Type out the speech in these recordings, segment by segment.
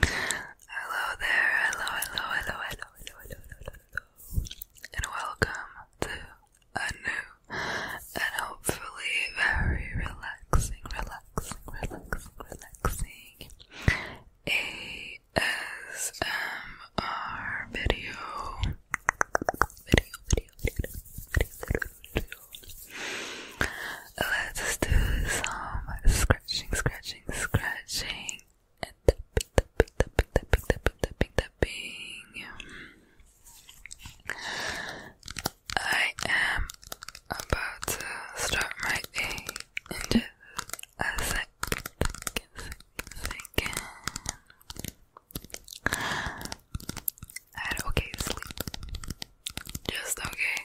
Hello there, hello, hello, hello, hello, hello, hello, and welcome to a new and hopefully very relaxing, relaxing, relaxing, relaxing ASMR video let's do some scratching, scratching, scratching, and tapping, tapping, tapping, tapping, tapping, tapping, tapping. I am about to start my day in just a second, second, second. okay sleep. Just okay.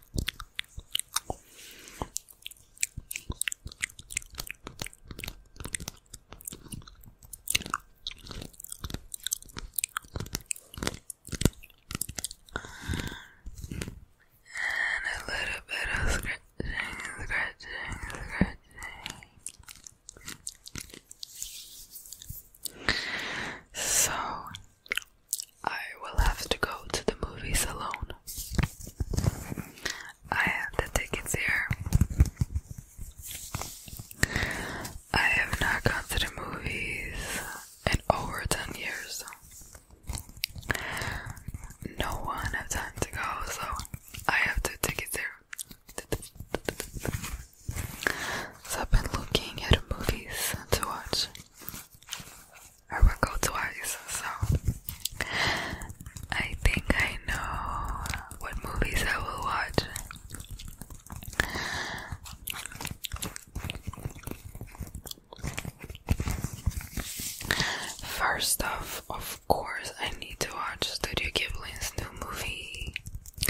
And a little bit of scratching, scratching, scratching. So I will have to go to the movies alone. I have the tickets here. I have not gone to the movies in over 10 years. No one has time to go, so I have two tickets here. So I've been looking at movies to watch. I will go twice, so I think I know what movies I will watch. First off, of course, I need to watch Studio Ghibli's new movie,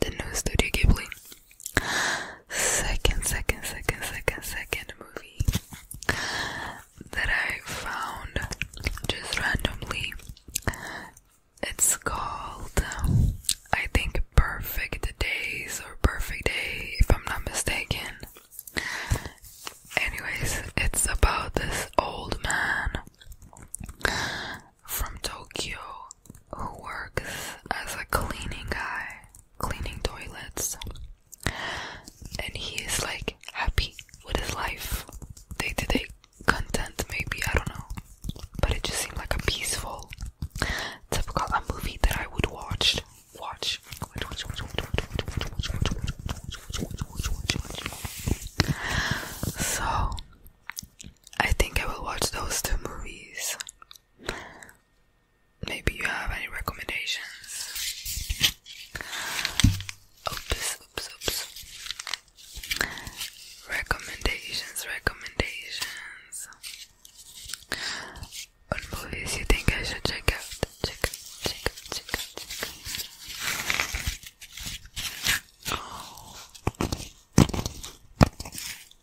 the new Studio Ghibli. Second, second, second, second, second movie that I found just randomly. It's called, I think, Perfect Days or Perfect Day, if I'm not mistaken. Anyways, it's about this old man from Tokyo who works as a cleaning guy, cleaning toilets, and he is like happy with his life, day to day content, maybe, I don't know. But it just seemed like a peaceful, typical a movie that I would watch. Watch. So, I think I will watch those two movies Maybe you have any recommendations? Oops, oops, oops. Recommendations, recommendations. On movies you think I should check out? Check out, check out, check out, check out.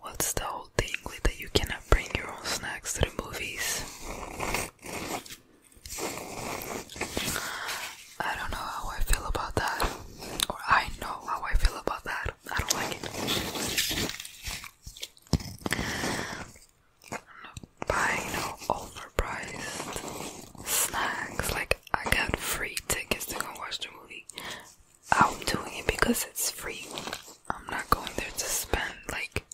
What's the whole thing with that you cannot bring your own snacks to the movies? I don't know how I feel about that. Or I know how I feel about that. I don't like it. i no over overpriced snacks. Like I got free tickets to go watch the movie. I'm doing it because it's free. I'm not going there to spend like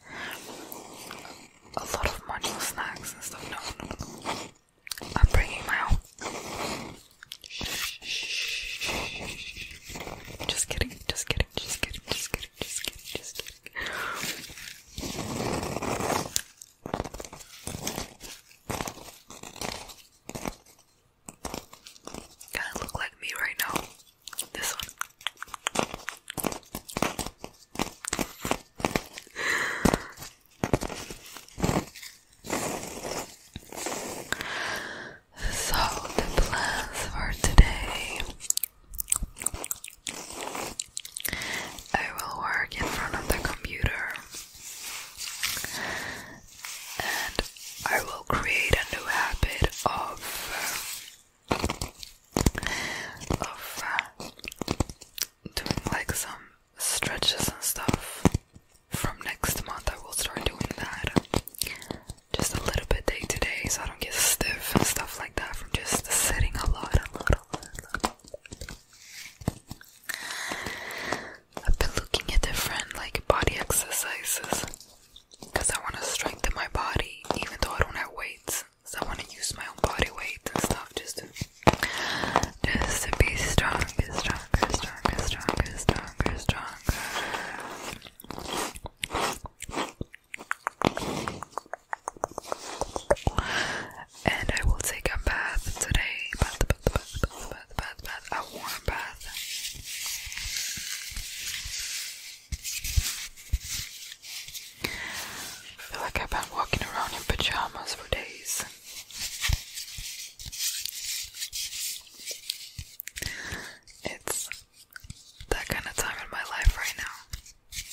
a lot of money on snacks and stuff. No, no, no. I'm bringing my own. Just kidding, just kidding, just kidding, just kidding, just kidding, just kidding. Kinda look like me right now. This one. So the plans for today I will work in front of the computer and I will create a new habit of uh, of uh, doing like some stretches and stuff. From next month, I will start doing that just a little bit day today, so I don't get stiff and stuff like that from just sitting a lot, a lot, a lot, a lot. I've been looking at different like body exercises because I want to strengthen my body even though I don't have weights. So I want to use my own body weight and stuff just to just to be stronger, stronger, stronger, stronger, stronger, stronger. And I will take a bath today. Bath, bath, bath, bath, bath, bath, bath. A warm bath. I feel like I've been walking around in pajamas for days. It's that kind of time in my life right now.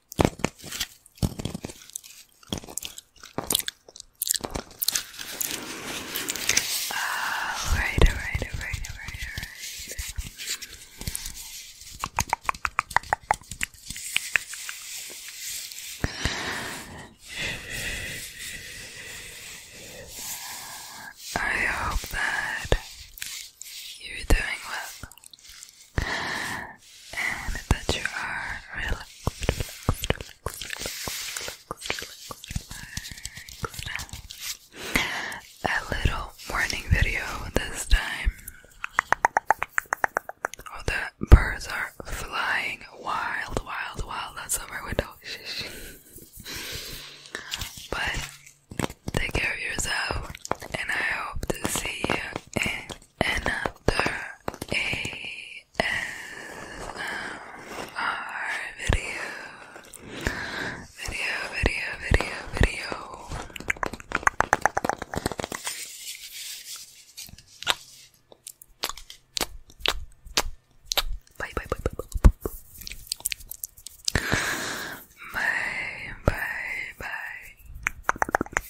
Alright, alright, alright, alright, alright. I hope that you're doing well and that you are relaxed, A little morning video this time. Oh, the birds are flying wild, wild, wild outside my window. but take care of yourself, and I hope to see you another ASMR video. Video, video, video, video. bye, bye, bye, bye. Bye, bye, bye.